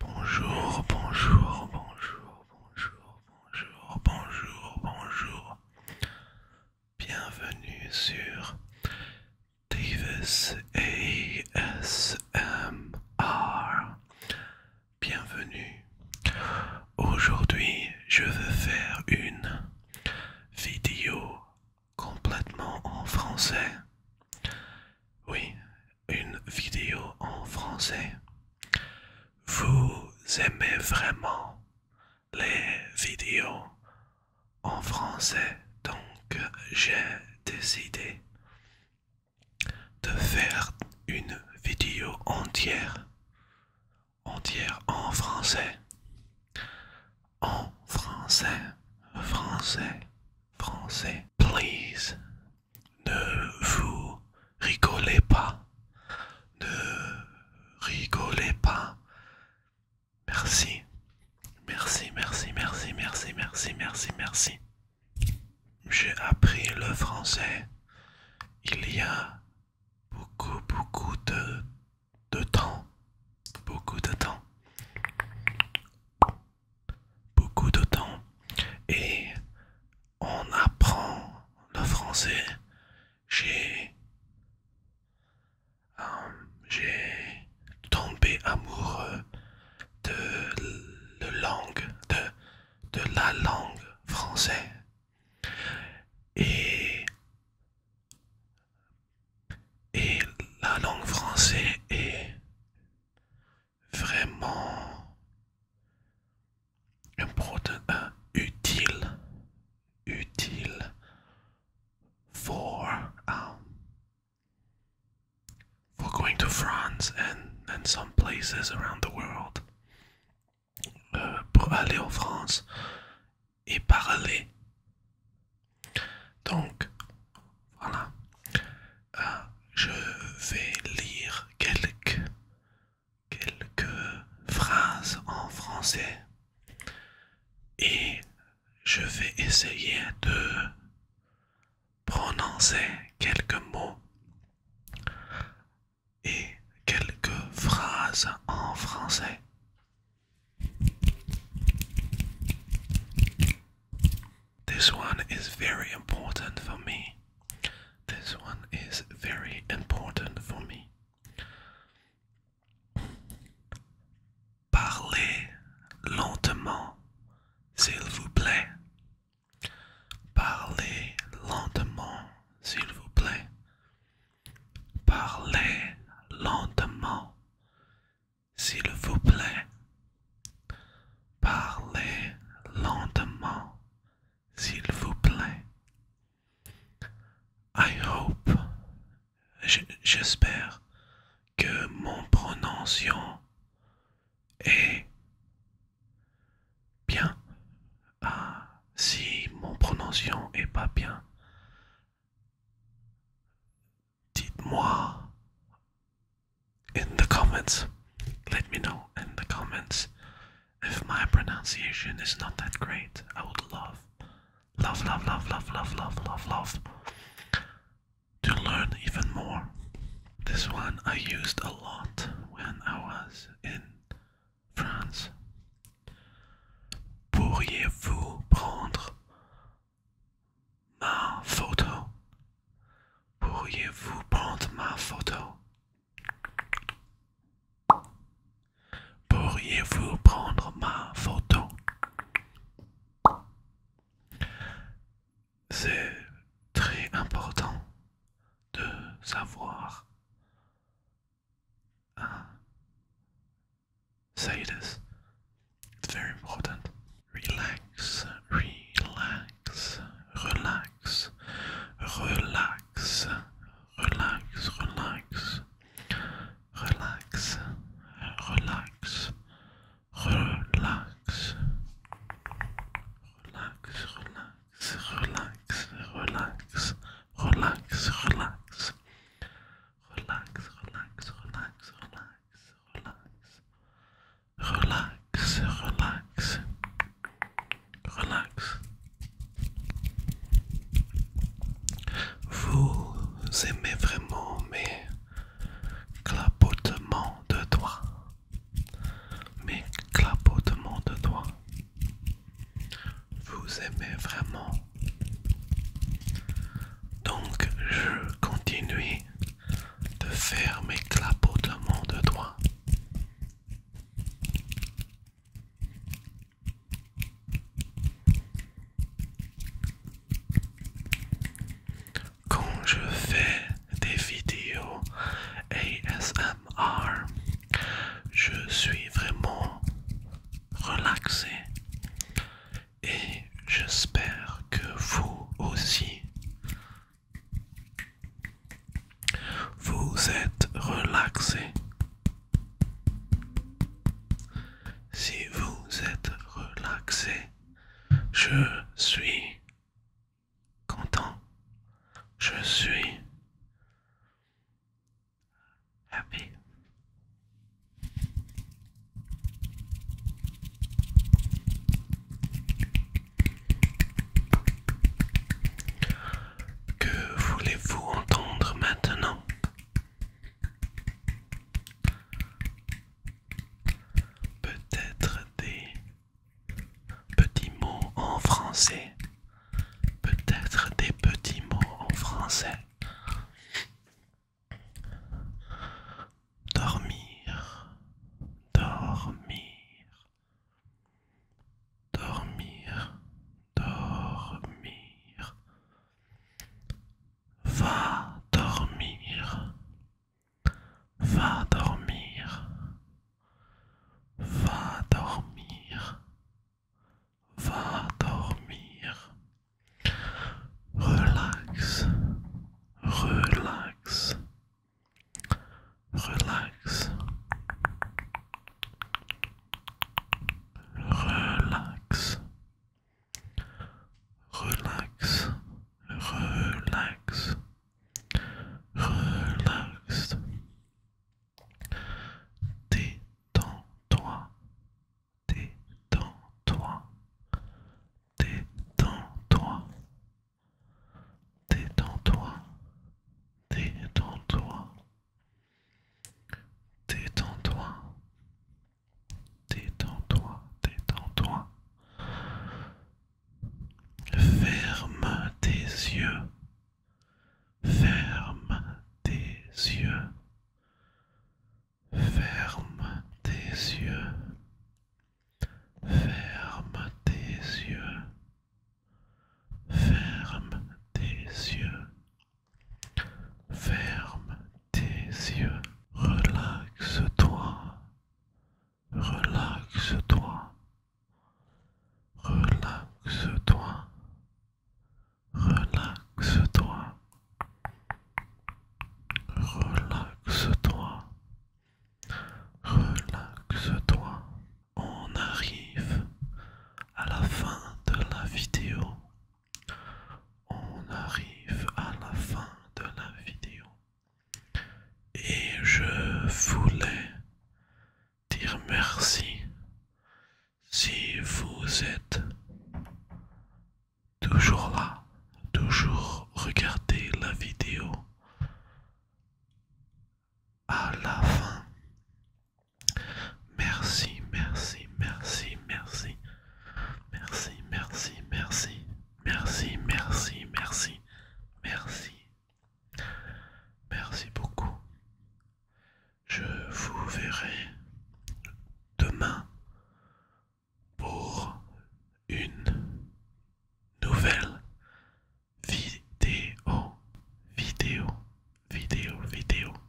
Bonjour, bonjour, bonjour, bonjour, bonjour, bonjour, bonjour. Bienvenue sur Davis ASMR. Bienvenue. Aujourd'hui, je veux faire une vidéo complètement en français. Oui, une vidéo en français. Vous aimez vraiment les vidéos en français, donc j'ai décidé de faire une vidéo entière, entière en français, en français, français, français. Please, ne vous rigolez pas. Ne rigolez pas. Merci. Merci, merci, merci, merci, merci, merci, merci. J'ai appris le français il y a beaucoup, beaucoup de, de temps. Beaucoup de temps beaucoup de temps et on apprend le français j'ai euh, j'ai tombé amoureux de la langue de, de la langue française et et la langue française est vraiment important, utile, utile for um, for going to France and and some places around the world. Euh, pour aller en France et parler. Donc, voilà. Euh, je vais lire quelques, quelques phrases en français et je vais essayer de prononcer quelques mots et quelques phrases en français. This one is very important for me. This one is very important for me. Parlez lentement, s'il vous plaît. Parlez lentement, s'il vous plaît. Parlez lentement, s'il vous plaît. Parlez lentement, s'il vous plaît. I hope, j'espère que mon prononciation est bien. Ah, si mon prononciation est pas bien, dites-moi in the comments. Let me know in the comments if my pronunciation is not that great. I would love, love, love, love, love, love, love, love, to learn even more. This one I used a lot when I was in France. Pourriez-vous prendre ma photo? Pourriez-vous prendre ma photo? Pourriez-vous prendre ma photo? C'est très important de savoir uh, say this. It's very important. Relax, relax, relax, relax, relax, relax, relax, relax, relax, relax, relax. relax, relax, relax, relax. Relax, relax, relax, relax, relax. Relax, relax. Relax. Vous aimez vraiment mes clapotements de doigts mes clapotements de doigts. Vous aimez vraiment. Donc je continue de faire mes clapotements de doigts. Quand je fais des vidéos ASMR, je suis vraiment relaxé et j'espère que vous aussi. Vous êtes relaxé. Si vous êtes relaxé, je suis content. Je suis happy. Que voulez-vous entendre maintenant Peut-être des Petit mots en français. Peut-être des petits mots en français. Dormir, dormir, dormir, dormir. Va dormir, Va dormir. Va dormir. Va dormir. Relax. Relax. Relax. Relax. Relax, relax, relax. Détends-toi, détends-toi, détends-toi, détends-toi, détends-toi, détends-toi, Détends-toi, détends-toi. Ferme tes yeux. Ferme tes yeux. Ferme tes yeux. Ferme tes yeux. Ferme tes yeux tes yeux. Relaxe-toi. Relaxe-toi. Relaxe-toi. Relaxe-toi. Relaxe-toi. Relaxe-toi. On arrive à la fin de la vidéo. On arrive à la fin de la vidéo et je voulais dire merci si vous êtes toujours là, toujours regarder la vidéo à la fin. Merci, merci, merci, merci. Merci, merci, merci, merci, merci, merci, merci. Merci beaucoup. Je vous verrai demain pour une nouvelle vidéo, vidéo, vidéo, vidéo.